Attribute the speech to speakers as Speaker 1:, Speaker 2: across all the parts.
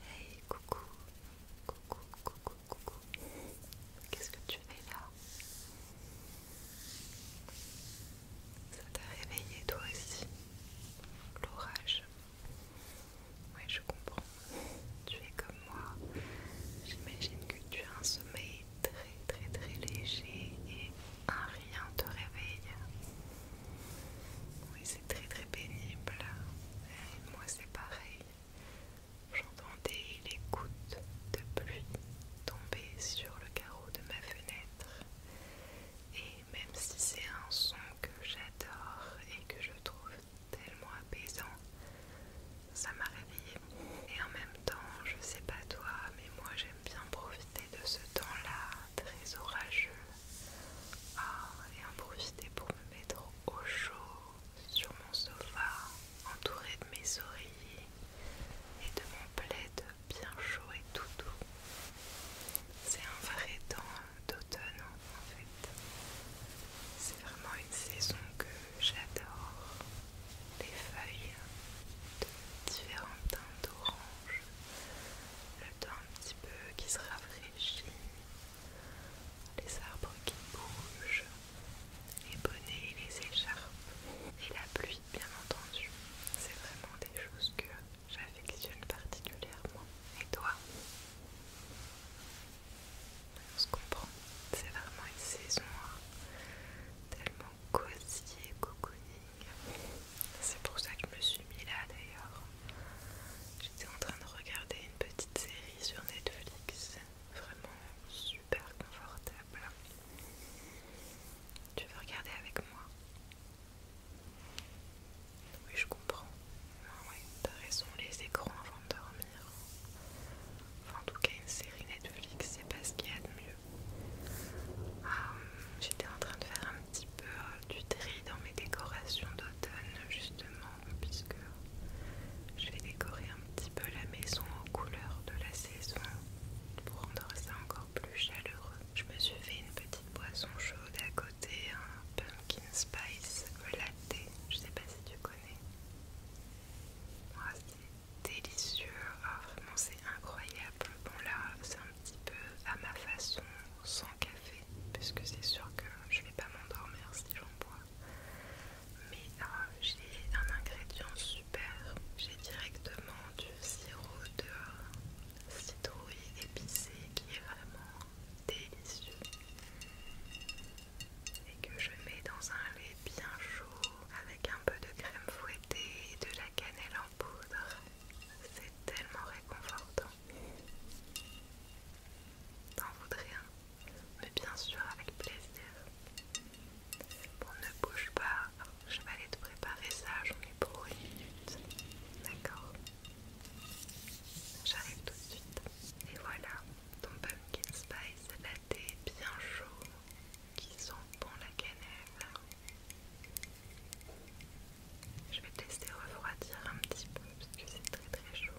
Speaker 1: Hey coucou, coucou, coucou, coucou. Qu'est-ce que tu fais là Ça t'a réveillé toi aussi L'orage. Ouais, je comprends. Tu es comme moi. J'imagine que tu as un sommeil très très très léger et un rien te réveille très très pénible. moi c'est pareil. J'entendais les gouttes de pluie tomber sur le carreau de ma fenêtre. Et même si c'est un son que j'adore et que je trouve tellement apaisant, ça m'a réveillée. Et en même temps, je sais pas toi, mais moi j'aime bien profiter de ce temps-là très orageux ah et en profiter pour me mettre au chaud sur mon sofa, entouré de mes oreillers et de mon plaid bien chaud et tout doux. C'est un vrai temps d'automne en fait. C'est vraiment une saison que j'adore. Les feuilles de différents teintes d'orange, le temps un petit peu qui se rafraîchit, les arbres qui bougent, les bonnets les écharpes, et la pluie bien entendu. C'est vraiment des choses que j'affectionne particulièrement. Et toi On se comprend, c'est vraiment une saison hein. tellement cosy et cocooning. C'est pour ça que je me suis mis là d'ailleurs. J'étais en train de regarder une petite série sur Netflix, vraiment super confortable. Tu veux regarder avec moi Oui, je comprends. Ah ouais, t'as raison, les écrans avant de dormir. Enfin, en tout cas, une série Netflix, c'est pas ce qu'il y a de mieux. Ah, j'étais en train de faire un petit peu euh, du tri dans mes décorations d'automne justement puisque je vais décorer un petit peu la maison aux couleurs de la saison pour rendre ça encore plus chaleureux. Je me suis fait une petite boisson chaude à côté, un pumpkin spice latte, je sais pas si tu connais. c'est délicieux, ah, c'est incroyable. Bon là c'est un petit peu à ma façon sans café parce que c'est sûr que je vais pas m'endormir si j'en bois mais euh, j'ai un ingrédient super j'ai directement du sirop de citrouille épicée qui est vraiment délicieux et que je mets dans un lait bien chaud avec un peu de crème fouettée et de la cannelle en poudre c'est tellement réconfortant T'en voudrais un Mais bien sûr, avec plaisir. Bon, ne bouge pas, je vais aller te préparer ça, j'en ai pour une minute. D'accord J'arrive tout de suite. Et voilà, ton pumpkin spice latte bien chaud qui sent bon la cannelle. Je vais tester laisser refroidir un petit peu parce que c'est très très chaud.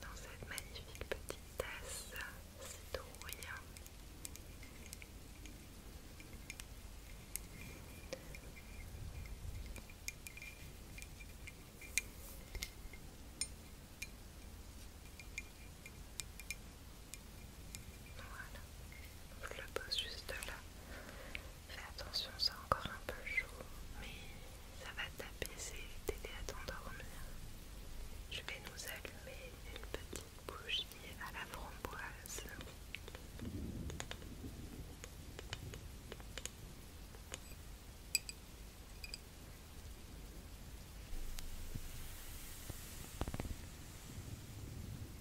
Speaker 1: Dans cette magnifique petite tasse citrouille. Voilà. Je le pose juste là. Fais attention, c'est encore un peu chaud, mais ça va t'apaiser, t'aider à t'endormir. Je vais nous allumer une petite bougie à la framboise. On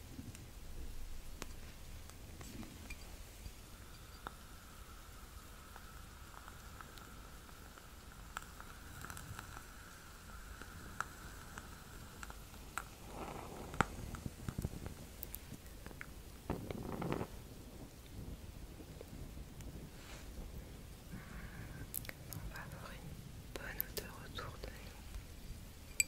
Speaker 1: va avoir une bonne odeur autour de nous.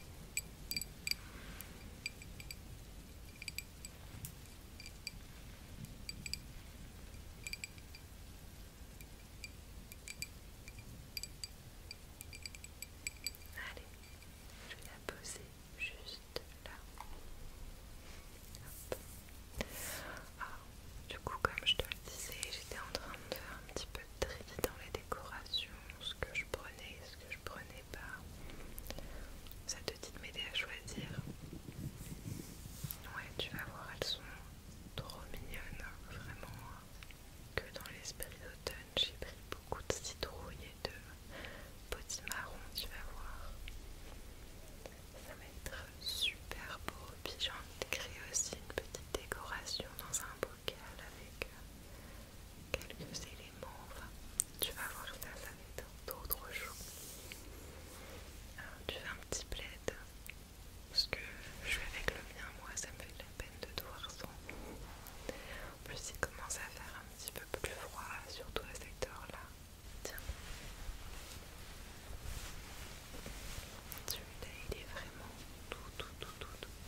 Speaker 1: Allez, je vais la poser juste là. du coup, comme je te le disais, j'étais en train de faire un petit peu de tri dans les décorations que je prenais et ce que je prenais pas. Ça te dit de m'aider à choisir. Ouais, tu vas voir, elles sont trop mignonnes, vraiment. Que dans l'esprit d'automne, j'ai pris beaucoup de citrouilles et de marrons, tu vas voir. Ça va être super beau. Puis j'en ai de aussi une petite décoration dans un beau avec quelques éléments. Enfin, tu vas voir ça, ça va être d'autres choses. tu fais un petit plaid parce que je suis avec le mien, moi ça me fait de la peine de te voir sans. En plus, il commence à faire un petit peu plus froid, surtout à cette heure-là. Tiens, celui-là il est vraiment tout, tout, tout, tout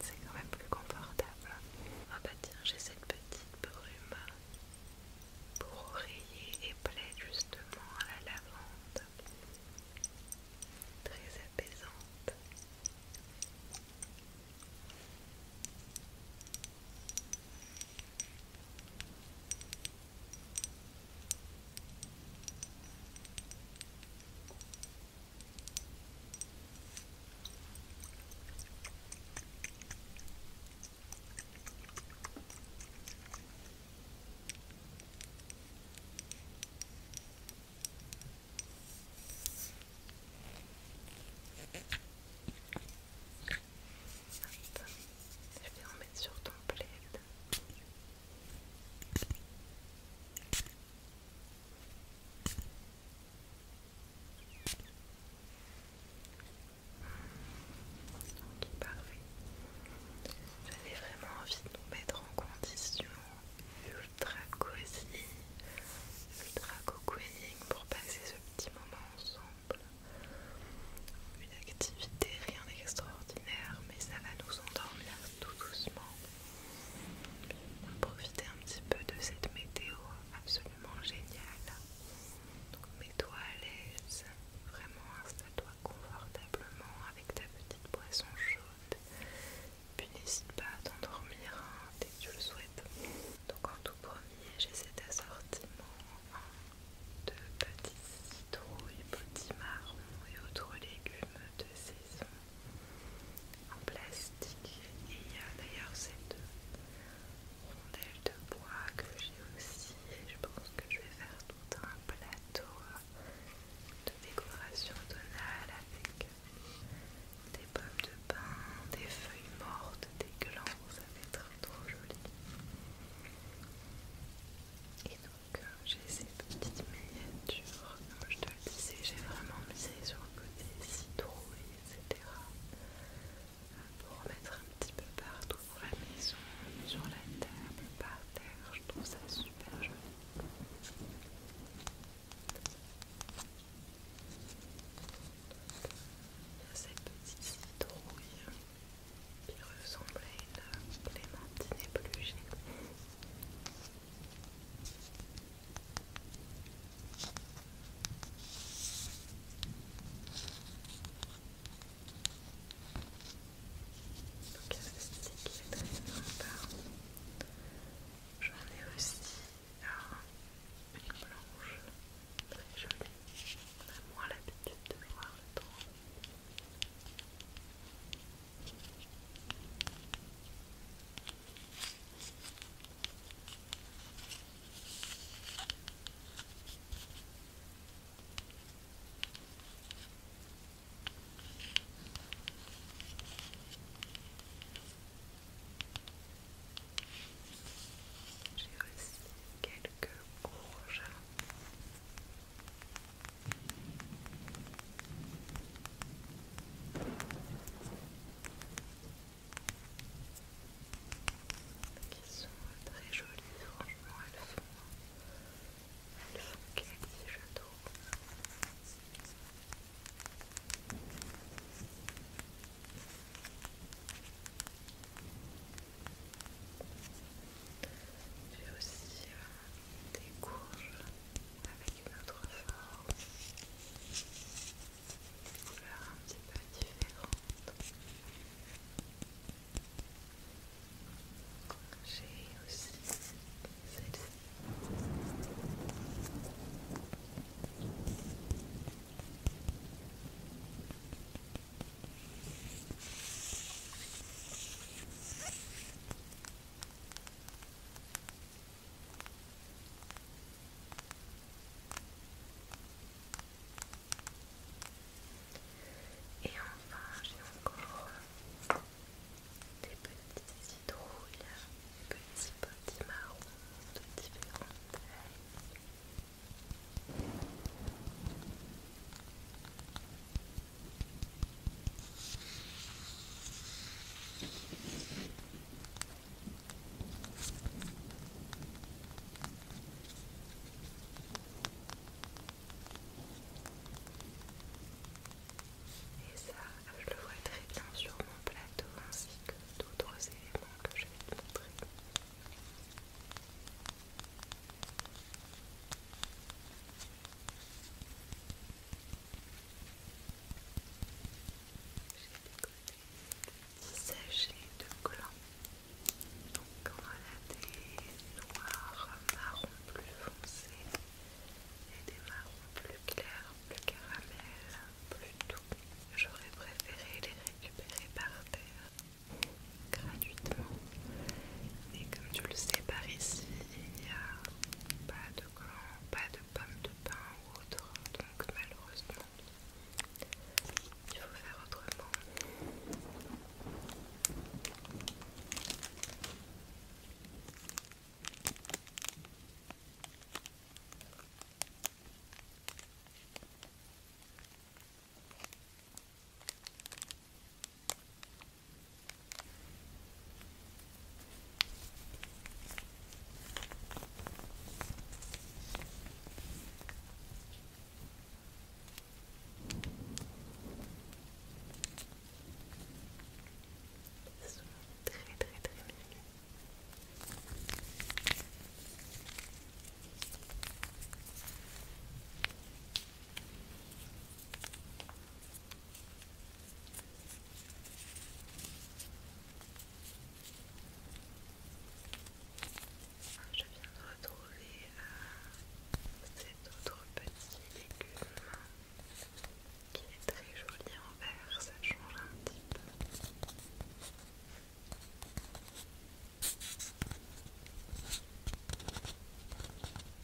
Speaker 1: c'est quand même plus confortable. Ah bah tiens, j'ai cette petite brume pour oreiller et plaie justement à la lavande. Très apaisante. Je vais en mettre sur ton plaid parfait. J'avais vraiment envie de nous mettre en condition ultra cosy, ultra cocooning pour passer ce petit moment ensemble. Une activité, rien d'extraordinaire, mais ça va nous endormir tout doucement. Profiter un petit peu de cette météo absolument géniale. Donc mets-toi à l'aise, vraiment installe-toi confortablement avec ta petite boisson chaude. Puis n'hésite pas à t'endormir hein, dès que tu le souhaites. Donc en tout premier, j'ai cet assortiment de petits citrouilles, petits marrons et autres légumes de saison en plastique et il y a d'ailleurs cette rondelle de bois que j'ai aussi je pense que je vais faire tout un plateau euh, de décoration tonale avec des pommes de pain, des feuilles mortes, des glands, ça va être trop joli. Et donc euh, j'ai ces petites miniatures, j'ai vraiment misé sur le côté citrouille, etc. Pour mettre un petit peu partout dans la maison, sur la table, par terre, je trouve ça super joli. Il y a cette petite citrouille qui ressemble à une clémentine épluchée. Donc il y a ceci qui est très sympa. J'en ai aussi ah, une blanche très jolie. On a moins l'habitude de voir le temps. J'ai aussi quelques rouges qui sont très jolies, franchement elles font, elles font quasi je trouve. J'ai aussi euh, des courges avec une autre forme, des couleurs un petit peu différente. J'ai aussi et enfin, j'ai encore des petites citrouilles, des petits marrons de différentes tailles. Et ça, je le vois très bien sur mon plateau ainsi que d'autres éléments que je vais vous montrer. J'ai sachets de gland. Donc on a des noirs, marrons plus foncés et des marrons plus clairs, plus caramel, plus doux. J'aurais préféré les récupérer par terre gratuitement. Mais comme tu le sais par ici, il n'y a pas de pas de pommes de pain ou autre, donc malheureusement, il faut faire autrement. C'est sont très très très mignons. Je viens de retrouver euh, cet autre petit légume qui est très joli en vert, ça change un petit peu.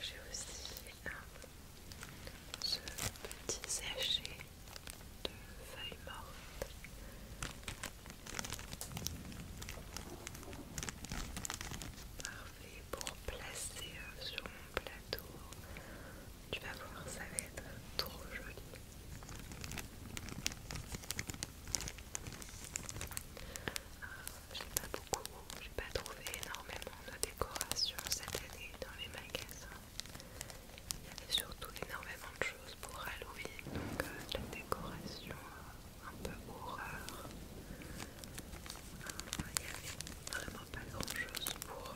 Speaker 1: J'ai aussi un ce petit sachet de feuilles mortes. Parfait pour placer euh, sur mon plateau tu vas voir, ça va être trop joli. Euh, j'ai pas beaucoup, j'ai pas trouvé énormément de décorations cette année dans les magasins. Il y avait surtout énormément de choses pour Halloween, donc des euh, décorations décoration euh, un peu horreur. il n'y avait vraiment pas grand chose pour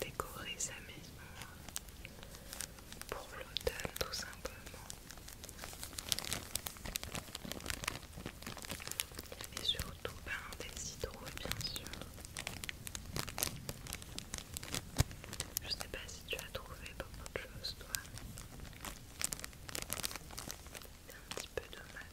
Speaker 1: décorer sa maison pour l'automne tout simplement. Et surtout ben, des citrouilles bien sûr. Je sais pas si tu as trouvé beaucoup de choses toi. C'est un petit peu dommage.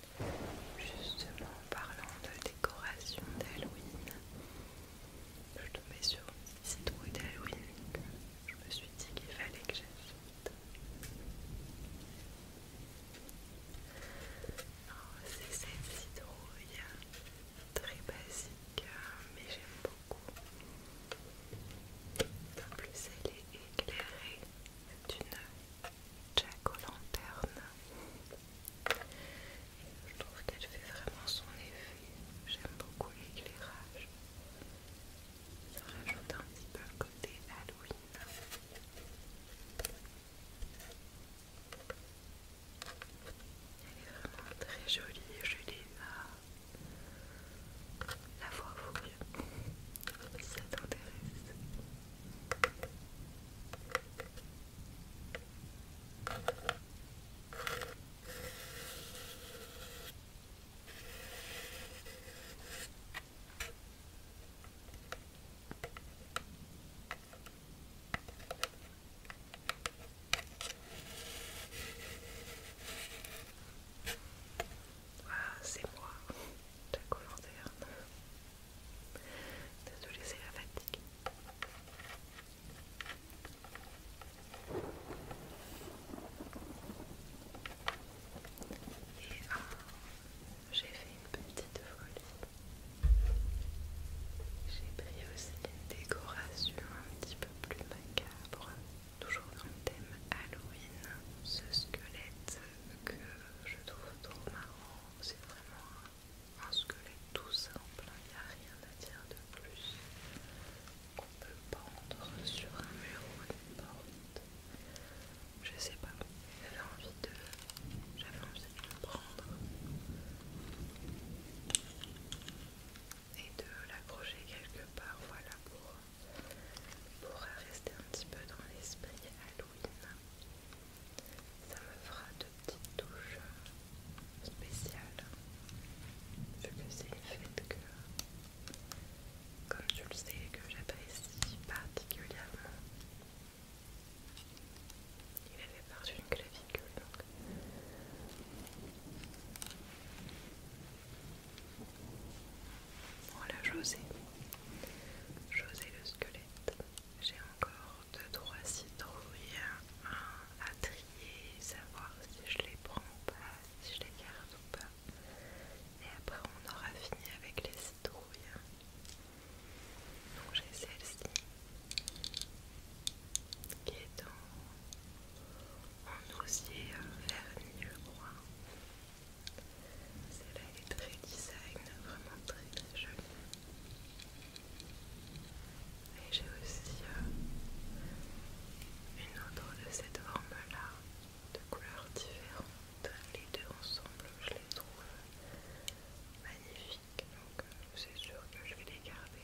Speaker 1: Justement, en parlant de décoration d'Halloween, je tombais sur une citrouille d'Halloween que je me suis dit qu'il fallait que j'achète. C'est cette citrouille hein, très basique, hein, mais j'aime beaucoup. En plus, elle est éclairée d'une Jack aux je trouve qu'elle fait vraiment son effet. J'aime beaucoup l'éclairage. Ça rajoute un petit peu le côté Halloween. Elle est vraiment très jolie, Julie. l'ai la voix vous. Si ça t'intéresse. Voilà, ah, c'est moi, Jack O'Lanterne. Désolée, c'est la fatigue. Et ah, j'ai fait une petite folie. J'ai pris aussi une décoration un petit peu plus macabre, toujours dans le thème Halloween. Ce squelette que je trouve trop marrant, c'est vraiment un squelette tout simple, il n'y a rien à dire de plus qu'on peut pendre sur un mur ou une porte. Je sais pas, j'avais envie de, envie de le prendre et de l'accrocher quelque part, voilà pour rester un petit peu dans l'esprit ça me fera de petites touches euh, spéciales, vu que c'est le fait que, comme tu le sais, que j'apprécie particulièrement. Il avait perdu une clavicule donc. Voilà j'osais José le squelette. J'ai encore 2 trois citrouilles à trier, savoir si je les prends ou pas, si je les garde ou pas. Et après on aura fini avec les citrouilles. Donc j'ai celle-ci qui est dans en osier euh, vernis je crois. Celle-là est très design, vraiment très très jolie. Et j'ai aussi euh, une autre de cette forme-là, de couleurs différentes. Les deux ensemble, je les trouve magnifiques. Donc euh, c'est sûr que je vais les garder.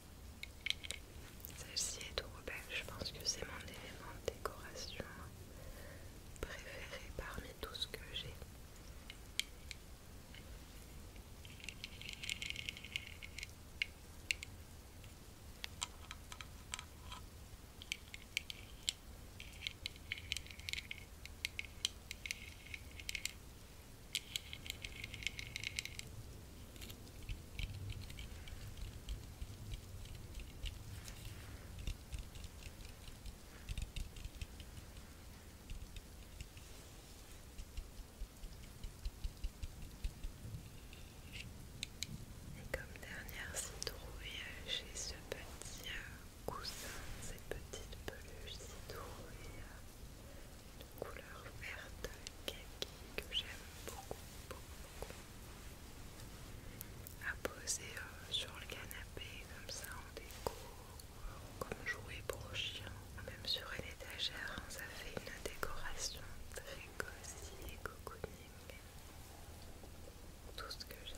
Speaker 1: Celle-ci est trop belle, je pense que c'est mon élément de décoration préféré parmi tout ce que j'ai. Et comme dernière citrouille, j'ai ce petit euh, coussin, cette petite peluche citrouille euh, une couleur verte kaki que j'aime beaucoup, beaucoup, À poser euh, sur le canapé comme ça en déco, comme jouer pour chien, même sur une étagère, hein, ça fait une décoration très cosy et cocooning. Tout ce que j'aime.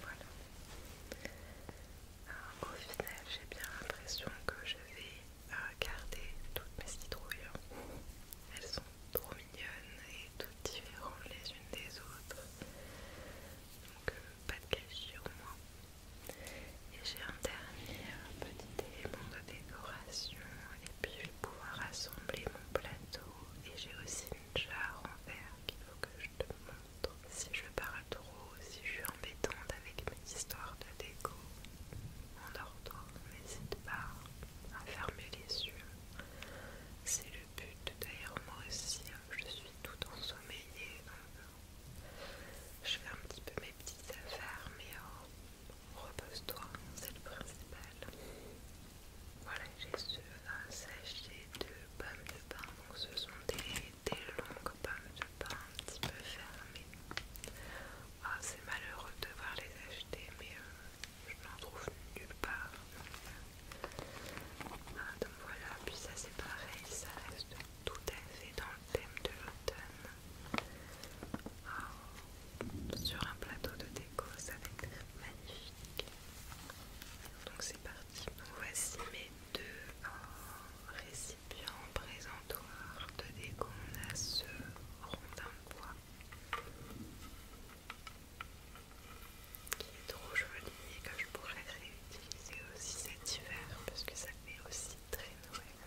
Speaker 1: Voilà. au final, j'ai bien l'impression que je vais euh, garder toutes mes citrouilles. Hein. Elles sont trop mignonnes et toutes différentes les unes des autres. Donc euh, pas de cachet au moins. Et j'ai un dernier euh, petit élément de décoration puis je pouvoir assembler mon plateau et j'ai aussi une jarre en verre qu'il faut que je te montre si je parle trop, si je suis embêtante avec mes histoires de déco en toi n'hésite pas à fermer les yeux c'est le but, d'ailleurs moi aussi hein, je suis tout ensommeillée donc euh, je fais un petit peu mes petites affaires mais oh, repose-toi, c'est le principal. Voilà, j'ai su un sachet de pommes de pain, donc ce sont des, longues pommes de pain un petit peu fermées. Ah, c'est malheureux de voir les acheter, mais euh, je n'en trouve nulle part. Ah, donc voilà, puis ça c'est pareil, ça reste tout à fait dans le thème de l'automne. Ah. sur un plateau de déco, ça va être magnifique. Donc c'est parti. voici mes deux euh, récipients présentoirs de déco. On a ce rondin de bois qui est trop joli et que je pourrais réutiliser aussi cet hiver parce que ça fait aussi très Noël.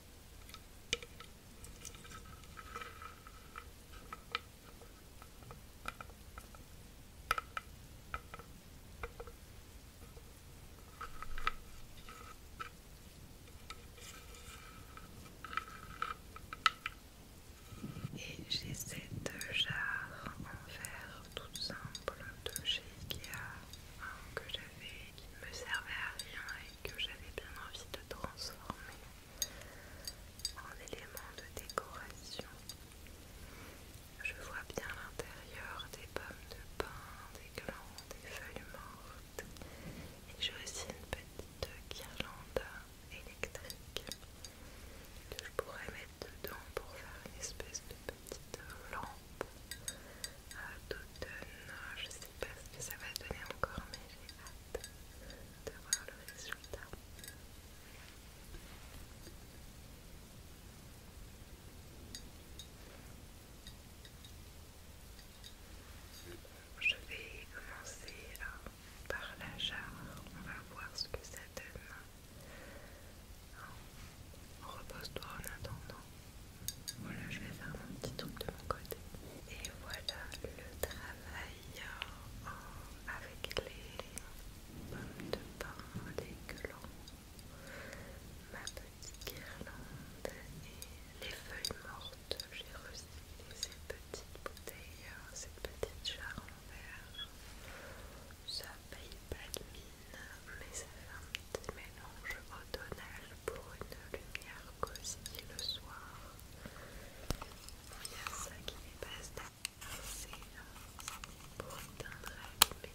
Speaker 1: Et j'ai cette jarre en verre toute simple de chez Ikea, hein, que j'avais qui ne me servait à rien que j'avais bien envie de transformer en éléments de décoration. Je vois bien l'intérieur des pommes de pin, des glands, des feuilles mortes. Et j'ai aussi une petite guirlande électrique que je pourrais mettre dedans pour faire une espèce de petite lampe à d'automne. Euh, je sais pas ce que ça va donner encore, mais j'ai hâte de voir le résultat. Je vais commencer par la jarre, on va voir ce que ça donne. Repose-toi en attendant. Voilà, je vais faire mon petit truc de mon côté. Et voilà le travail avec les pommes de pain, les ma petite guirlande et les feuilles mortes. J'ai recyclé ces petites bouteilles, cette petite jarre en verre. Ça paye pas de mine, mais ça fait un mélange automnal pour une lumière cosy le soir. Il y a ça qui est passe c'est pour teindre la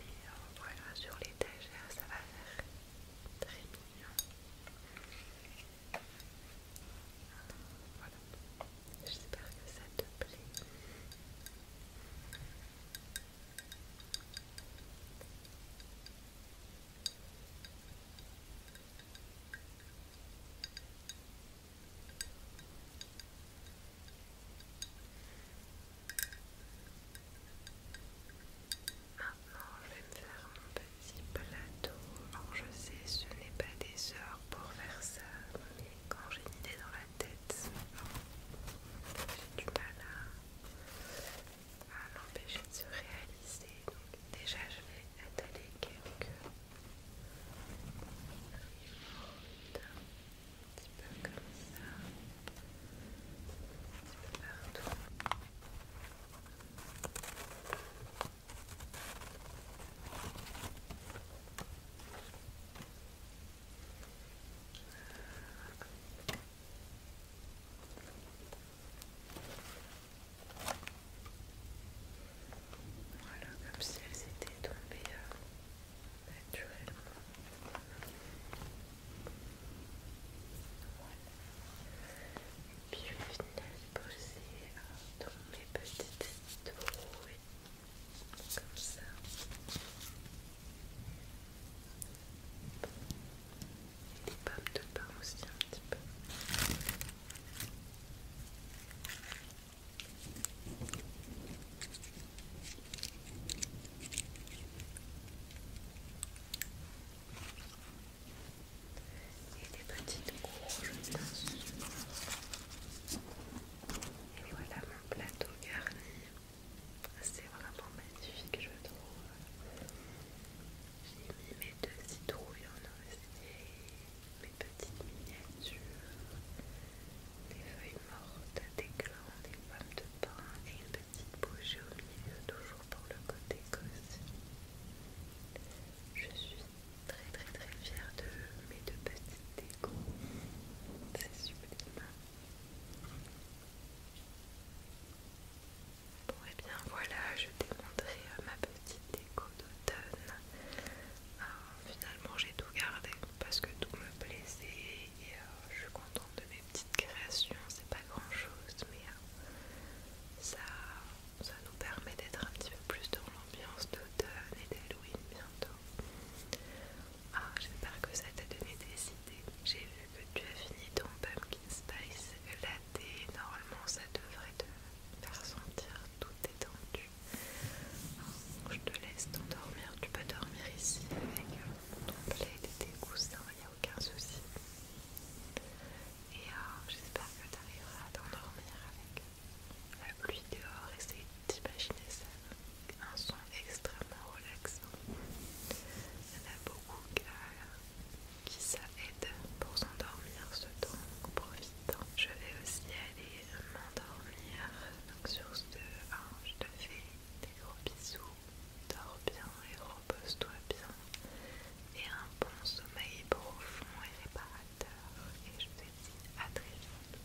Speaker 1: Mais euh, voilà, sur l'étagère, ça va faire très mignon. Voilà, j'espère que ça te plaît. Maintenant, je vais me faire mon petit plateau. je sais, ce n'est pas des heures pour faire ça, mais quand j'ai une idée dans la tête. J'ai du mal à, l'empêcher de se réaliser. Donc déjà je vais étaler quelques ribotes, un petit peu comme ça, un petit peu partout. Voilà, comme si elles étaient tombées euh, naturellement. Voilà. Et puis je vais finir de poser euh, dans mes petites trouées, comme ça. Des pommes de pain aussi un petit peu. Et des petites courges Et voilà mon plateau garni. C'est vraiment magnifique, je trouve. J'ai mis mes deux citrouilles en osier, mes petites miniatures, des feuilles mortes, des glands, des pommes de pain et une petite bougie au milieu, toujours pour le côté cosy. Je suis très très très fière de mes deux petites déco, C'est sublime. Bon et eh bien voilà, je t'ai montré euh, ma petite déco d'automne. finalement j'ai tout gardé parce que tout me plaisait et euh, je suis contente de mes petites créations. C'est pas grand chose mais euh, ça, ça nous permet d'être un petit peu plus dans l'ambiance d'automne et d'Halloween bientôt. Ah, j'espère que ça t'a donné des idées. J'ai vu que tu as fini ton pumpkin spice latte. Normalement, ça devrait te faire sentir tout détendu. Je te laisse t'endormir. Tu peux dormir ici avec euh, ton plaid et tes coussins, il n'y a aucun souci. Et euh, j'espère que tu arriveras à t'endormir avec la pluie dehors. rester T'imagines ça. Un son extrêmement relaxant. Il y en a beaucoup qui ça euh, aide pour s'endormir, ce temps profite Je vais aussi aller m'endormir. Donc sur ce, hein, je te fais des gros bisous. Dors bien et repose-toi bien. Et un bon sommeil profond et réparateur. Et je te dis à très vite.